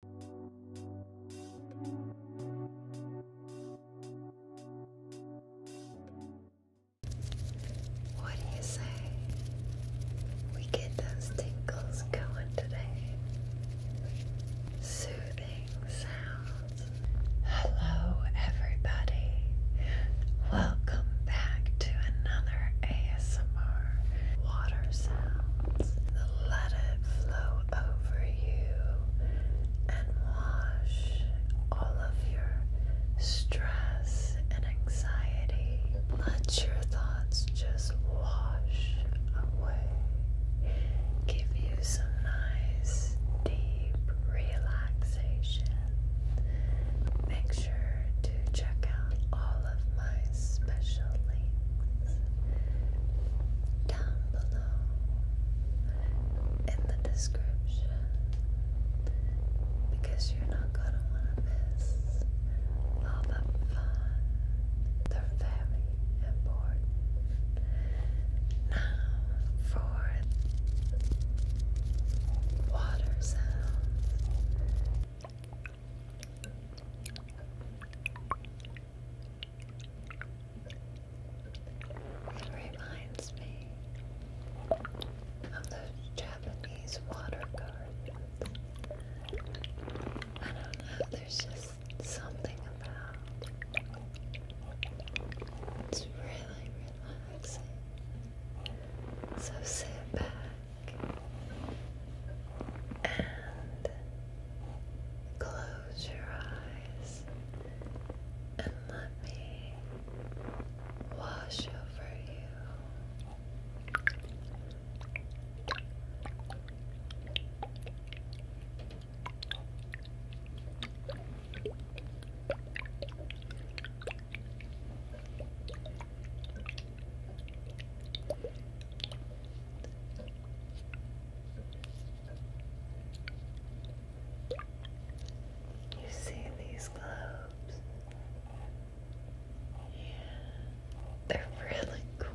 What do you say? We get those tingles going today. Soothing sounds. Hello, everybody. Welcome back to another ASMR Water Sounds let it flow over you and wash all of your stress and anxiety. Let your thoughts just wash away. Give you some nice, deep relaxation. Make sure to check out all of my special links down below in the description because you're not going to want to miss all the fun. They're very important. Now for water Reminds me of those Japanese water gardens. I don't know, there's just something about it's really relaxing. So sit back and close your eyes and let me wash over you. You see these globes? Yeah, they're really cool.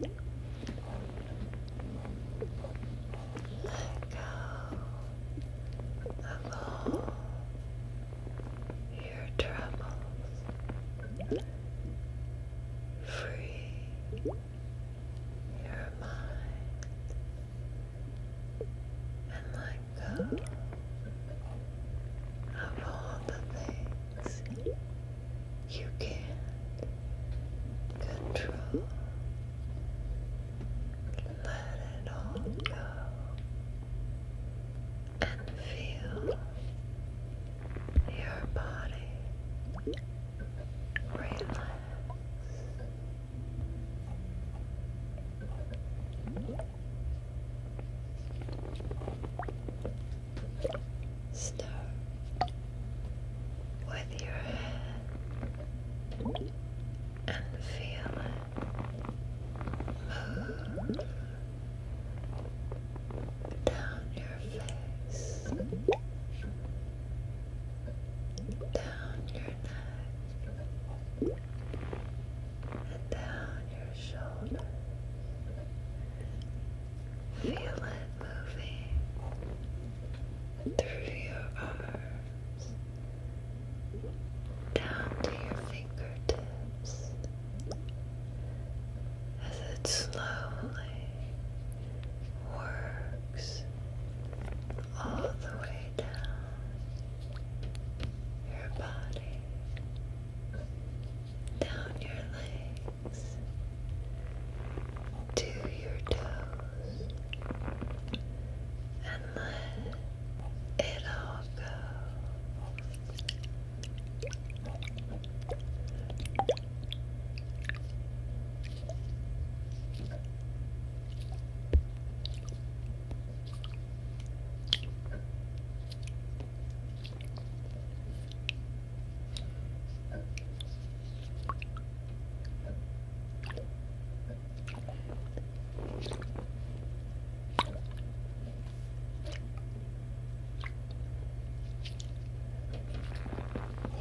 Let go of all your troubles. Free your mind and let go of all the things you can't control. Let it all go and feel your body Relax stir with your head, and feel it move down your face, down your neck, and down your shoulder. Feel it moving through your arms, down to your fingertips, as it slowly works all the way down your body down your legs to your toes and let it all go.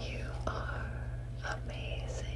You are amazing.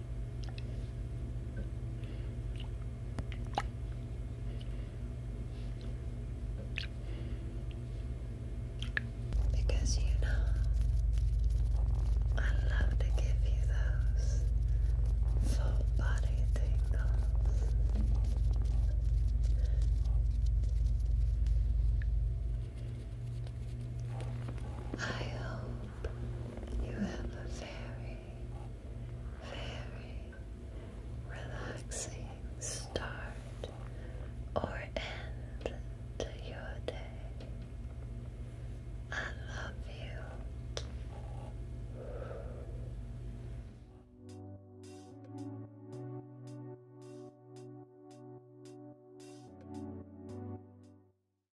Because you know, I love to give you those full body tingles. I hope you have a very, very relaxing start or end to your day. I love you.